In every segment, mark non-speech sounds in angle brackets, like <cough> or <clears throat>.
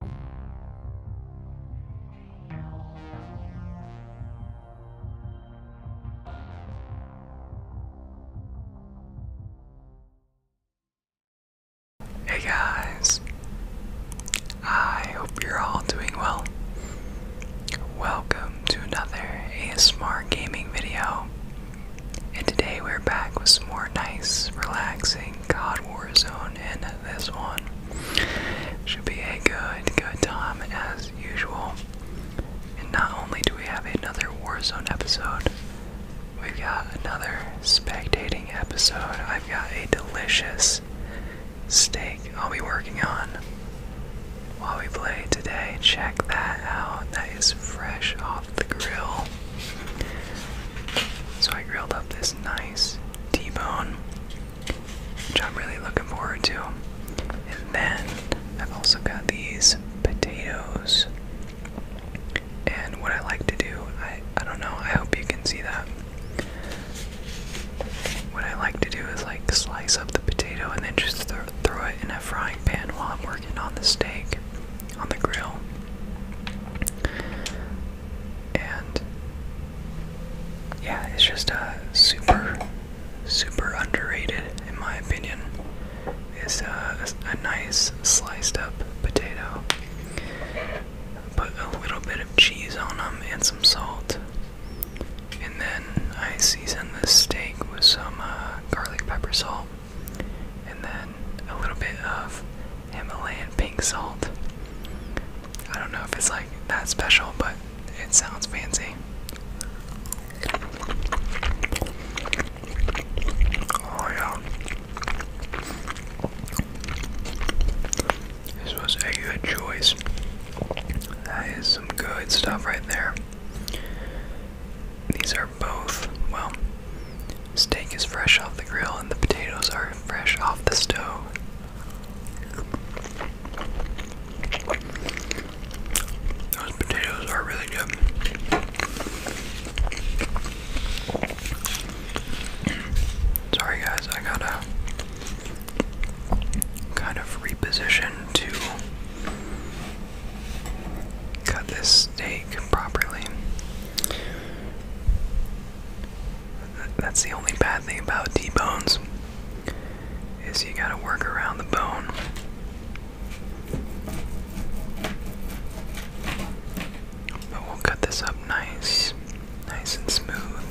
Hey guys, I hope you're all doing well. Welcome to another ASMR gaming video, and today we're back with some more nice, relaxing God Warzone and this one. Should be a good, good time as usual. And not only do we have another Warzone episode, we've got another spectating episode. I've got a delicious steak I'll be working on while we play today. Check that out. That is fresh off the grill. So I grilled up this nice T-bone, which I'm really looking forward to. And then I've also got these potatoes. And what I like to do, I, I don't know, I hope you can see that. What I like to do is like slice up the potato and then just throw it in a frying pan while I'm working on the steak on the grill. And yeah, it's just a uh, super, super underrated in my opinion. It's uh, a, nice sliced up potato. Put a little bit of cheese on them and some salt, and then I season the steak with some uh, garlic pepper salt, and then a little bit of Himalayan pink salt. I don't know if it's like that special, but it sounds fancy. Oh, yeah. This was a good choice. That is some good stuff right there. These are both, well, steak is fresh off the grill and the potatoes are fresh off the stove. Those potatoes are really good. Sorry guys, I gotta kind of reposition to cut this steak properly. That's the only bad thing about T-bones is you gotta work around the bone. But we'll cut this up nice, nice and smooth.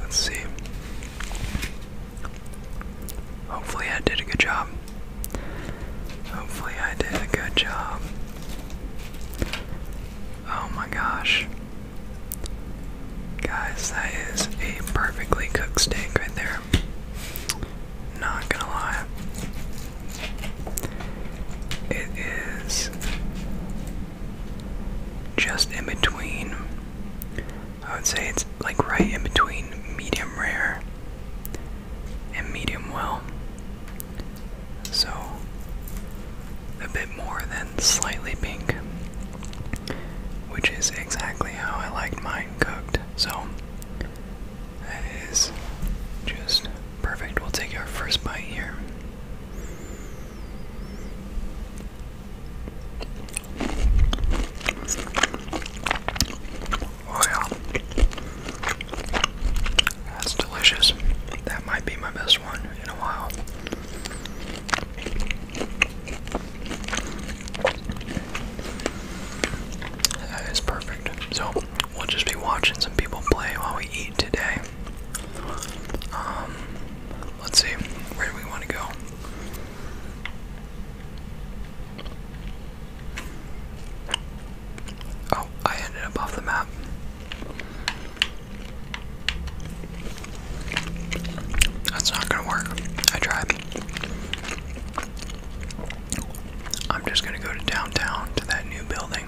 Let's see. Hopefully, I did a good job. Hopefully, I did a good job. Oh my gosh. Guys, that is a perfectly cooked steak right there. Not gonna lie. It is just in between. I would say it's like right in between medium rare and medium well. So, a bit more than slightly pink, which is exactly how I liked mine cooked. So, that is just perfect. We'll take our first bite here. Oh yeah. That's delicious. That might be my best one in a while. That is perfect. So we'll just be watching some people play while we eat today. Um, let's see, where do we want to go? Oh, I ended up off the map. That's not gonna work. I tried. I'm just gonna go to downtown to that new building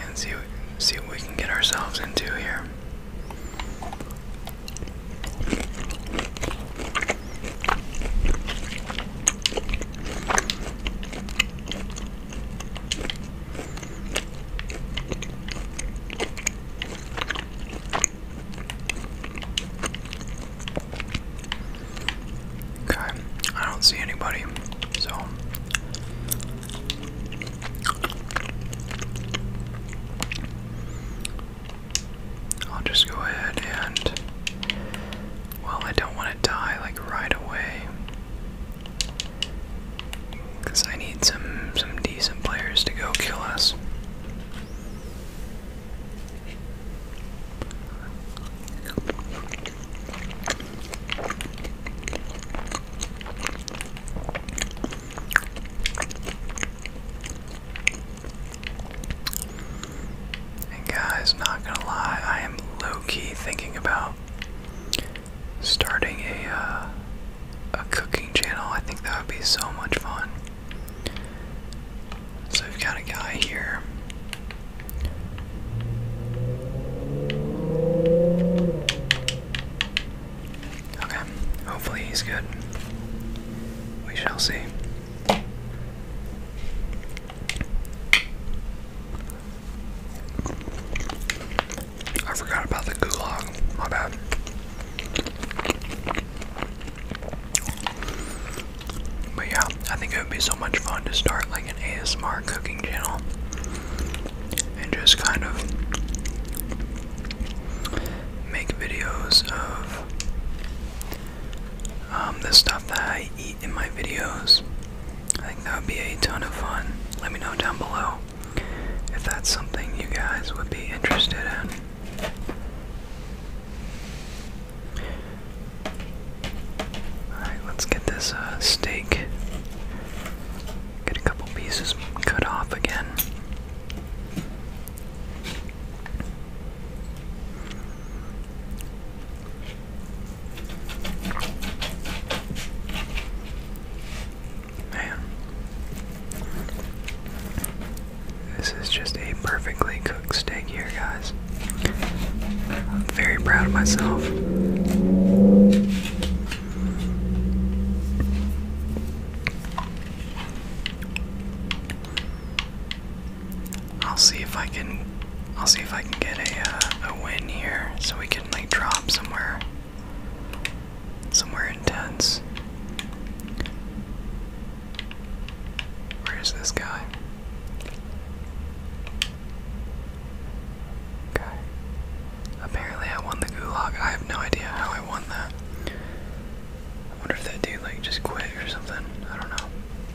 and see see what we can get ourselves into here. Okay, I don't see anybody, so I'll just go ahead and well, I don't want to die like right away. Cause I need some some decent players to go kill us. And guys, not gonna lie, I am low-key thinking about starting a uh, a cooking channel. I think that would be so much fun. So we've got a guy here. Okay, hopefully he's good. We shall see. I forgot about the gulag. My bad. But yeah, I think it would be so much fun to start like an ASMR cooking channel and just kind of make videos of um, the stuff that I eat in my videos. I think that would be a ton of fun. Let me know down below if that's something you guys would be interested in. Alright, let's get this uh, steak. Get a couple pieces cut off again. Man, this is just a perfectly cooked steak here, guys. I'm very proud of myself. I'll see if I can I'll see if I can get a uh, a win here so we can like drop somewhere somewhere intense. Where is this guy? Okay. Apparently I won the gulag. I have no idea how I won that. I wonder if that dude like just quit or something. I don't know.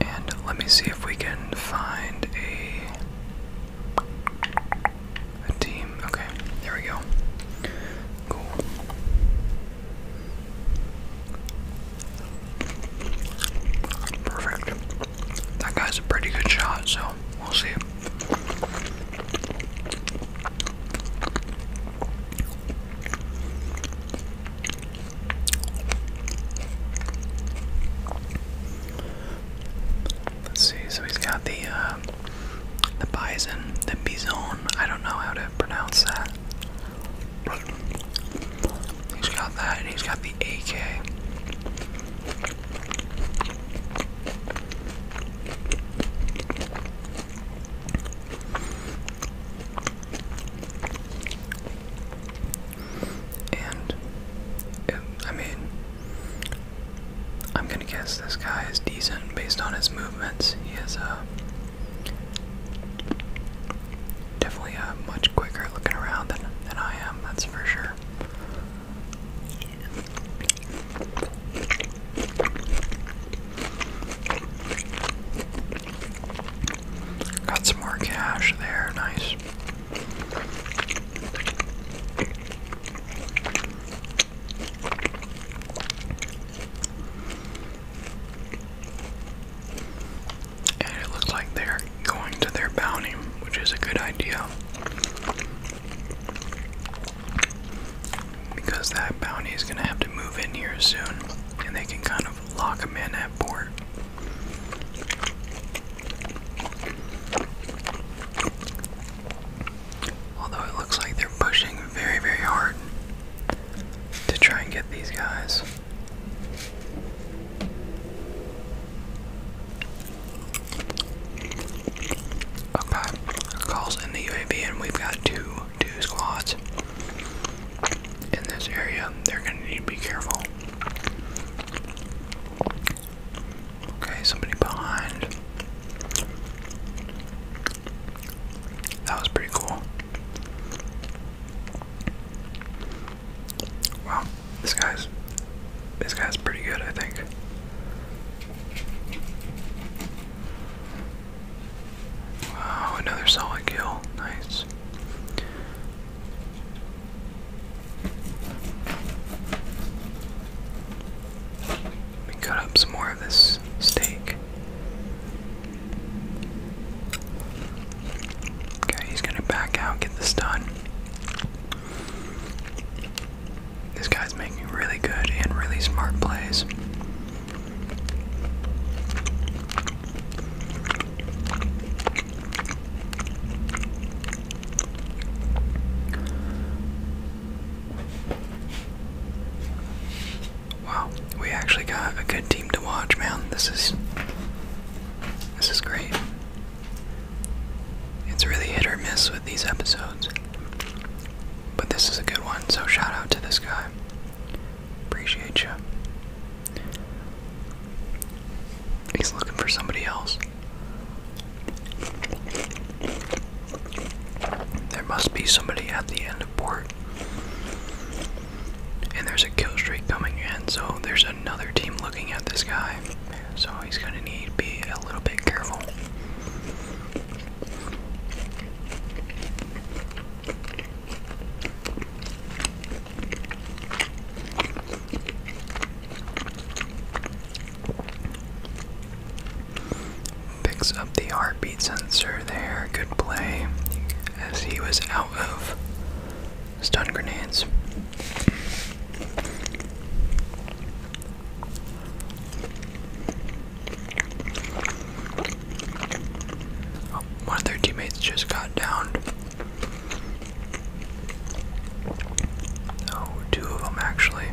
And let me see if we can find a a team. Okay, there we go. Cool. Perfect that guy's a pretty good shot, so we'll see. Let's see, so he's got the uh, the bison, the bison, I don't know how to pronounce that. he's got that and he's got the AK. And I mean, I'm gonna guess this guy is decent based on his movements. He is uh, definitely a uh, much quicker looking around than than I am. That's for sure. Got some more cash there, nice. And it looks like they're going to their bounty, which is a good idea. Because that bounty is going to have to move in here soon, and they can kind of lock them in at port. Although it looks like they're pushing very, very hard to try and get these guys. Okay, calls in the UAV, and we've got two two squads in this area. They're gonna need to be careful. Okay, somebody behind. That was pretty cool. Wow, this guy's this guy's pretty good, I think. Wow, another solid kill. Nice. Let me cut up some more of this steak. Okay, he's gonna back out, get this done. This guy's making really good and really smart plays. Wow, we actually got a good team to watch, man. This is this is great. It's really hit or miss with these episodes. But this is a good one, so shout out to this guy. Appreciate you. He's looking for somebody else. There must be somebody at the end of port. And there's a kill streak coming in, so there's another team looking at this guy. So he's gonna need to be a little bit careful. Picks up the heart beat sensor there. Good play. As he was out of stun grenades. Oh, one of their teammates just got down. Oh, two of them actually.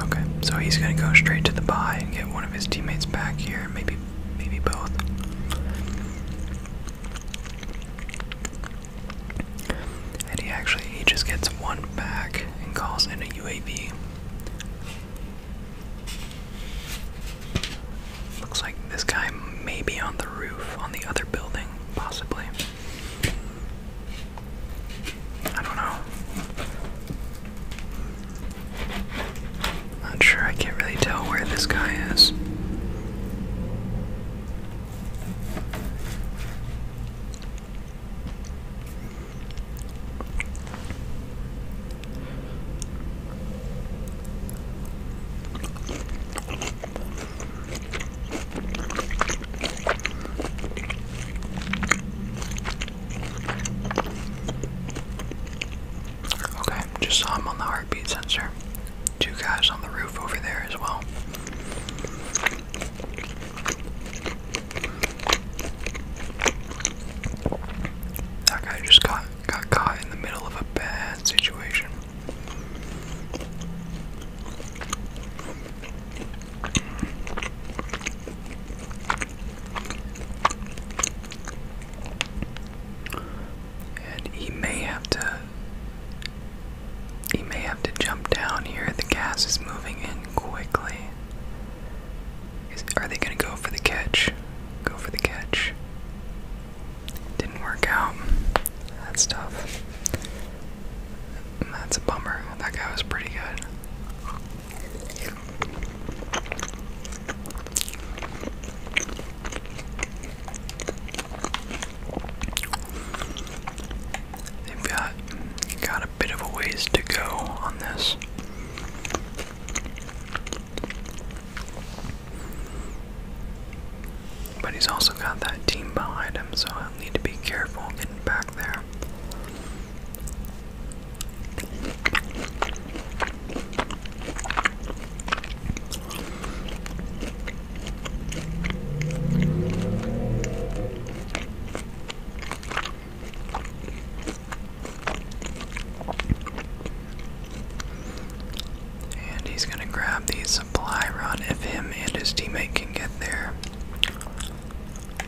Okay, so he's gonna go straight to the bye and get one of his teammates back here, maybe, maybe both. And he actually he just gets one back and calls in a UAV. Looks like this guy may be on the roof on the other building, possibly. I don't know. Not sure, I can't really tell where this guy is. Okay, just saw him on the heartbeat sensor. Two guys on the roof over there as well. That guy just got got caught in the middle of a bad situation. And he may have to he may have to jump down here. The gas is moving in quickly. are they going to go for the catch? Go for the catch. Didn't work out. That's tough. That's a bummer. That guy was pretty good. They've got got a bit of a ways to go on this. But he's also got that team behind him, so I'll need to be careful getting back there. And he's going to grab the supply run if him and his teammate can get there.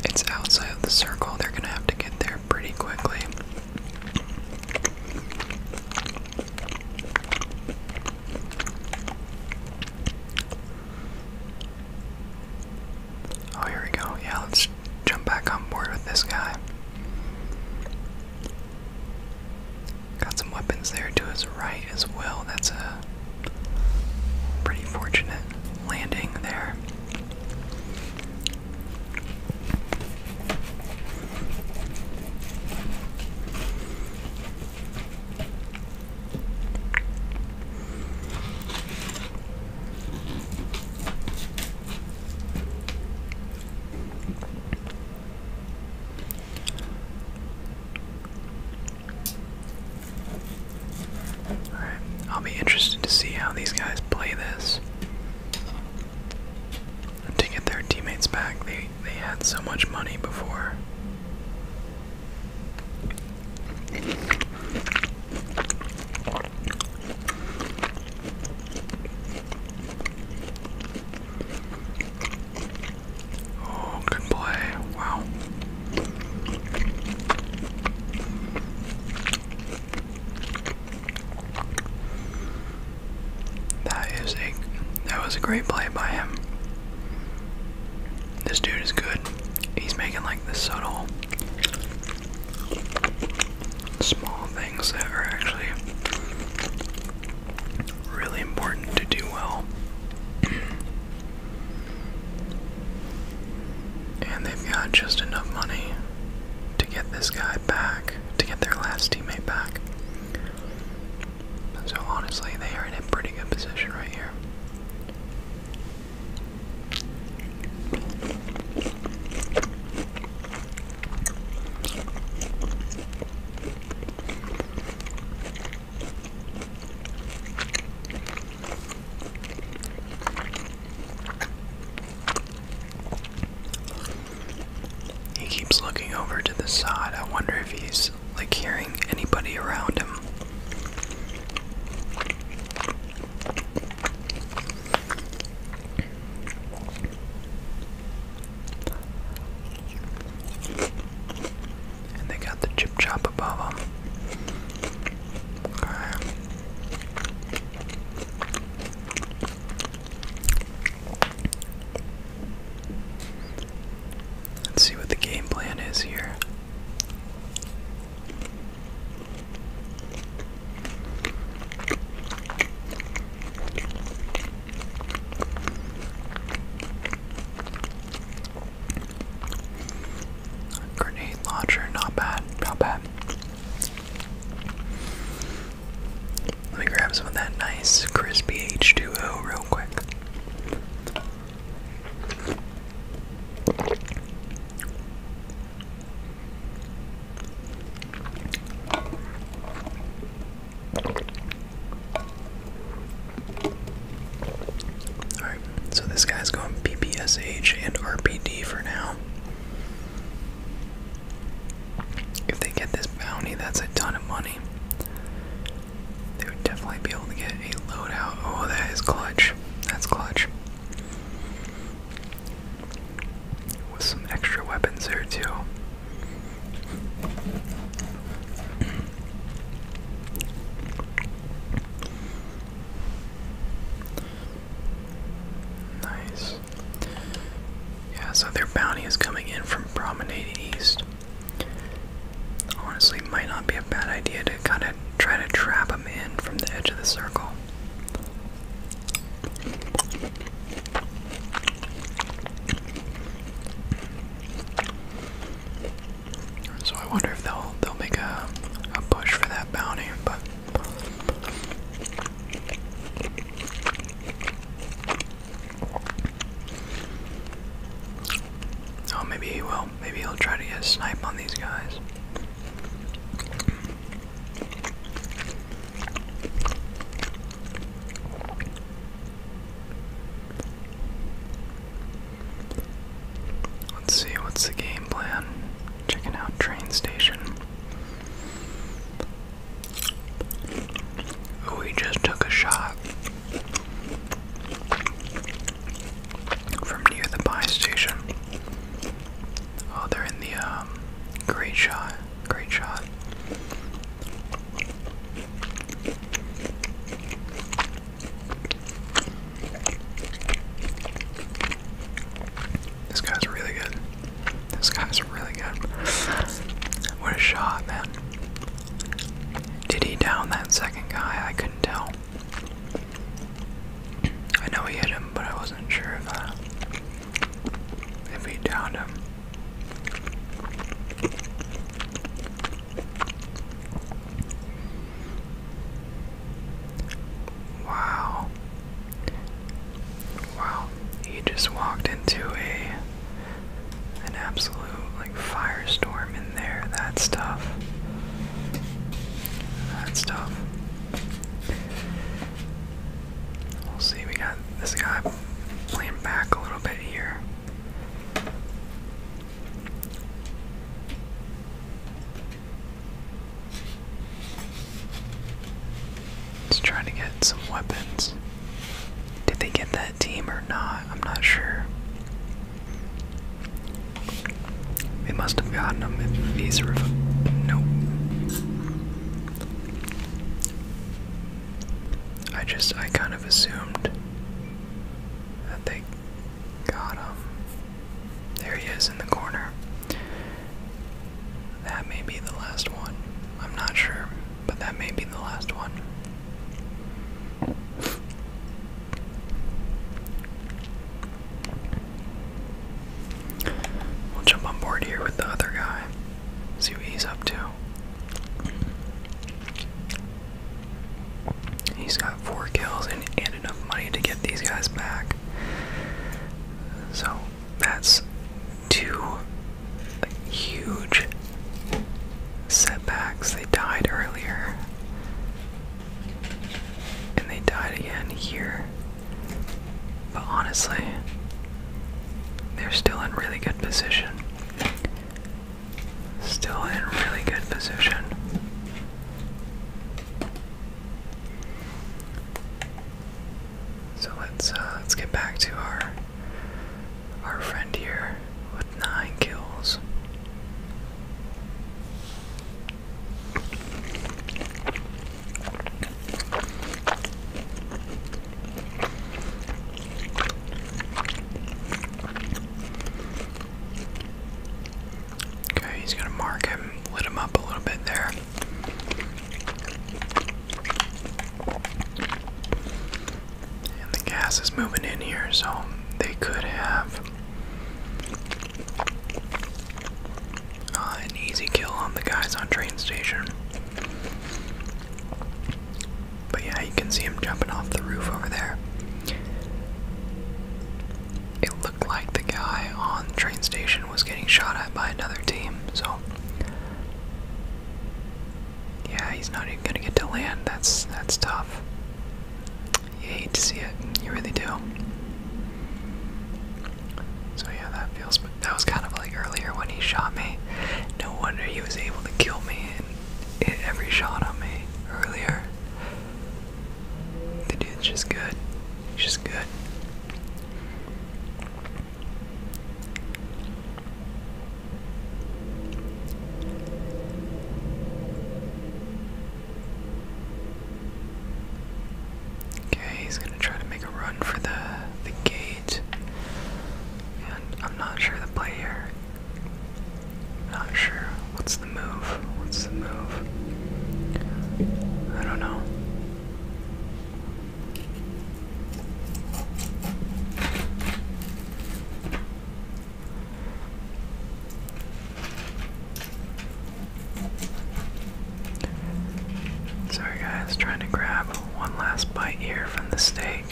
It's outside of the circle, they're going to have to get there pretty quickly. Oh, here we go. Yeah, let's jump back on board with this guy. Got some weapons there to his right as well. That's a pretty fortunate landing there. I'll be interested to see how these guys play this. To get their teammates back, they they had so much money before. Oh, good play. Wow. That is a that was a great play by him. This dude is good. He's making like the subtle small things that are actually really important to do well. <clears throat> and they've got just enough money to get this guy back, to get their last teammate back. So honestly, they are in a pretty good position right here. He keeps looking over to the side. I wonder if he's like hearing anybody around him. And they got the chip chop above them. Let's see what the game plan is here. Grenade launcher, not bad, not bad. Let me grab some of that nice crispy H2O real quick. Alright, so this guy's going PPSH and RPD for now. If they get this bounty, that's a ton of money they would definitely be able to get a loadout. Oh, that is clutch. That's clutch. With some extra weapons there, too. nice. Yeah, so their bounty is coming in from Promenade East. Honestly, might not be a bad idea to kind of try to trap him in from the edge of the circle. So I wonder if they'll they'll make a a push for that bounty, but Oh, maybe he will. Maybe he'll try to get a snipe on these guys. Let's see, what's the game plan? Checking out train station. Oh, just took a shot from near the buy station. Oh, they're in the um, great shot, great shot. This guy's really good. This guy's really good. what a shot, man. Did he down that second guy? I couldn't tell. I know he hit him, but I wasn't sure if uh, if he downed him. Wow. Wow. He just walked into a an absolute Firestorm in there. That's tough. That's tough. We'll see. We got this guy playing back a little bit here. Let's to get some weapons. Did they get that team or not? I'm not sure. We must have gotten him if he's rev nope. I just I kind of assumed that they got him. There he is in the corner. That may be the last one. I'm not sure, but that may be the last one. We'll jump on board here with the other guy. See what he's up to. He's got four kills and, enough money to get these guys back. So that's two huge setbacks. They died earlier. And they died again here. But honestly, they're still in really good position. Still in really good position. So let's uh, let's get back to our our friend here with nine kills. Okay, he's gonna mark him, lit him up a little bit there. And the gas is moving in here, so they could have an easy kill on the guys on train station. But yeah, you can see him jumping off the roof over there. It looked like the guy on train station was getting shot at by another team, so yeah, he's not even gonna get to land. That's that's tough you hate to see it. You really do. So yeah, that feels. That was kind of like earlier when he shot me. No wonder he was able to kill me and hit every shot on me earlier. The dude's just good. just good. Okay, he's gonna try to make a run for the the gate. And I'm not sure the play here. Not sure. What's the move? What's the move? I don't know. Sorry guys, trying to grab one last bite here from the steak.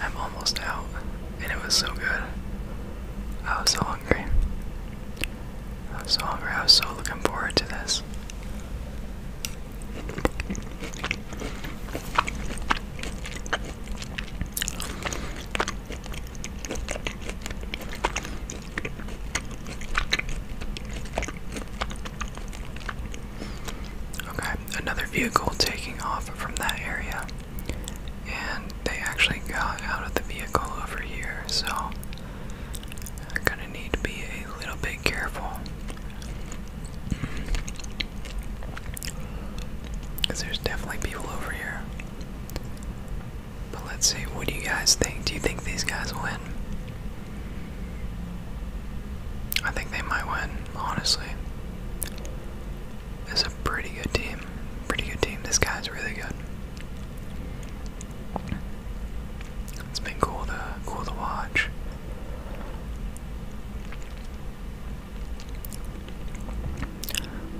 I'm almost out, and it was so good. I was so hungry. I was so hungry, I was so looking forward to this. Okay, another vehicle taking off from that area, and they actually got out of the vehicle over here, so I'm gonna need to be a little bit careful. Because there's definitely people over here. But let's see, what do you guys think? Do you think these guys win? I think they might win, honestly. It's a pretty good team. Pretty good team. This guy's really good. It's been cool to cool to watch.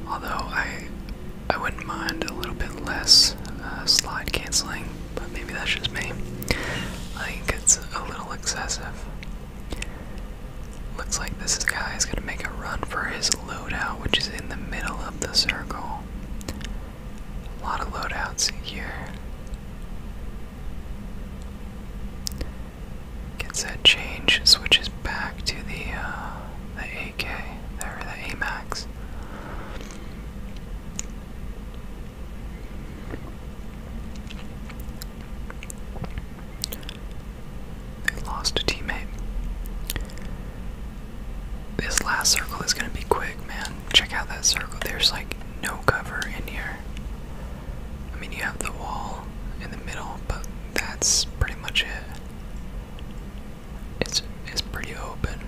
Although I I wouldn't mind a little bit less uh, slide canceling, but maybe that's just me. I think it's a little excessive. Looks like this guy is going to make a run for his loadout, which is in the middle of the circle. A lot of loadouts here. Gets that change, switches back to the uh, the AK, or the AMAX. They lost a teammate. This last circle is gonna be quick, man. Check out that circle. There's like no cover in here. I mean, you have the wall in the middle, but that's pretty much it. It's it's pretty open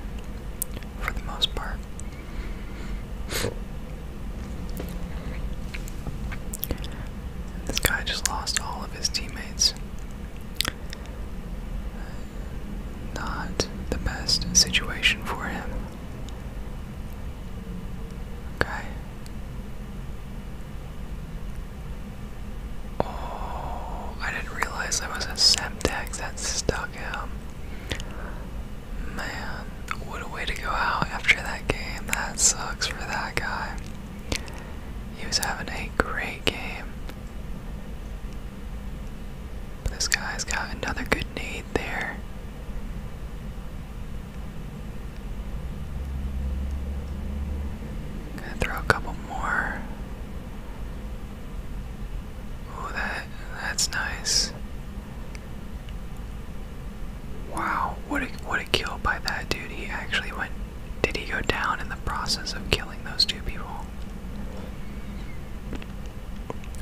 for the most part. This guy just lost all of his teammates. Not the best situation for him. Okay. Oh, I didn't realize there was a Semtex that stuck him. Man, what a way to go out after that game. That sucks for that guy. He was having a great game. This guy's got another good knee there. Gonna throw a couple more. Oh, that that's nice. Wow, what a what a kill by that dude. He actually went did he go down in the process of killing those two people?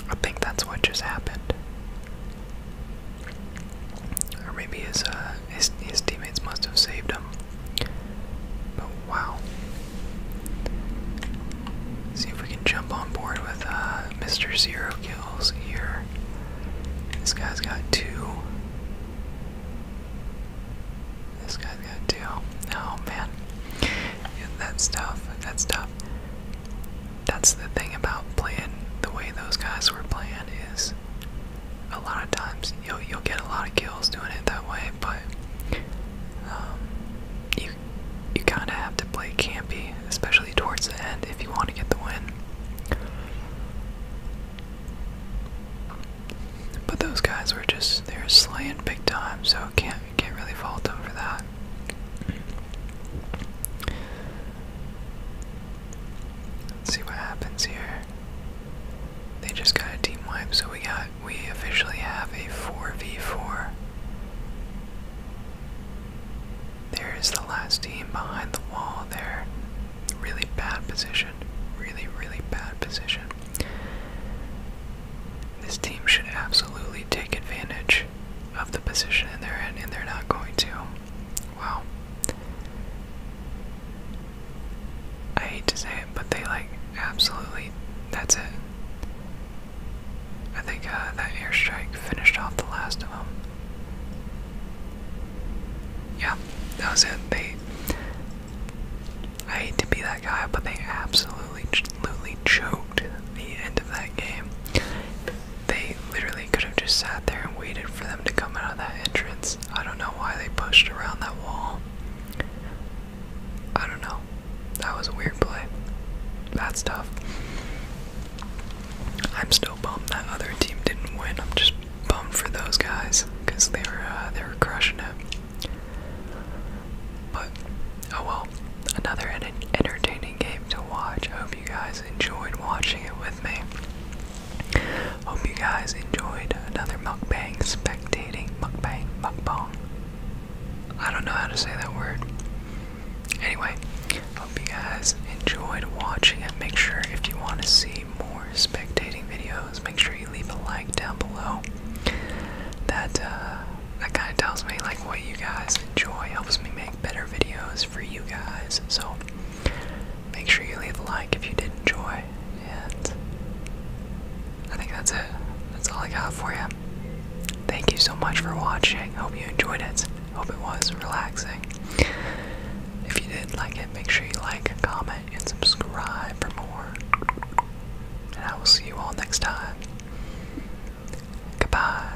I think that's what just happened. Or maybe uh, his, his, teammates must have saved him. But wow. see if we can jump on board with uh, Mr. Zero Kills here. This guy's got two. This guy's got two. Oh man. Yeah, that's tough. That's tough that's the thing about playing the way those guys were playing is a lot of times you'll you'll get a lot of kills doing it that way, but um, you you kind of have to play campy, especially towards the end, if you want to get the win. But those guys were just they were slaying big time, so can't can't really fault them for that. Let's see what happens here. They just got a team wipe, so we got we officially have a 4v4. There is the last team behind the wall there. Really bad position. Really, really bad position. This team should absolutely take advantage of the position in they and they're not going to. Wow. I hate to say it, but they like absolutely. That's it. I think uh, that airstrike finished off the last of them. Yeah, that was it. They. I hate to be that guy, but they absolutely, absolutely choked the end of that game. They literally could have just sat there and waited for them to come out of that entrance. I don't know why they pushed around that wall. I don't know. That was a weird play. That's tough. I'm still bummed that other team didn't win. I'm just bummed for those guys because they were uh, they were crushing it. But oh well, another entertaining game to watch. I hope you guys enjoyed watching it with me. Hope you guys enjoyed another mukbang, spectating, mukbang, mukbang. I don't know how to say that word. Anyway, hope you guys enjoyed watching it. Make sure if you want to see more spectating videos, make sure you leave a like down below. That uh, that kind of tells me like what you guys enjoy, helps me make better videos for you guys. So make sure you leave a like if you did enjoy. And I think that's it. That's all I got for you. Thank you so much for watching. Hope you enjoyed it. Hope it was relaxing. If you did like it, make sure you like, comment, and subscribe for more. And I will see you all next time. Goodbye.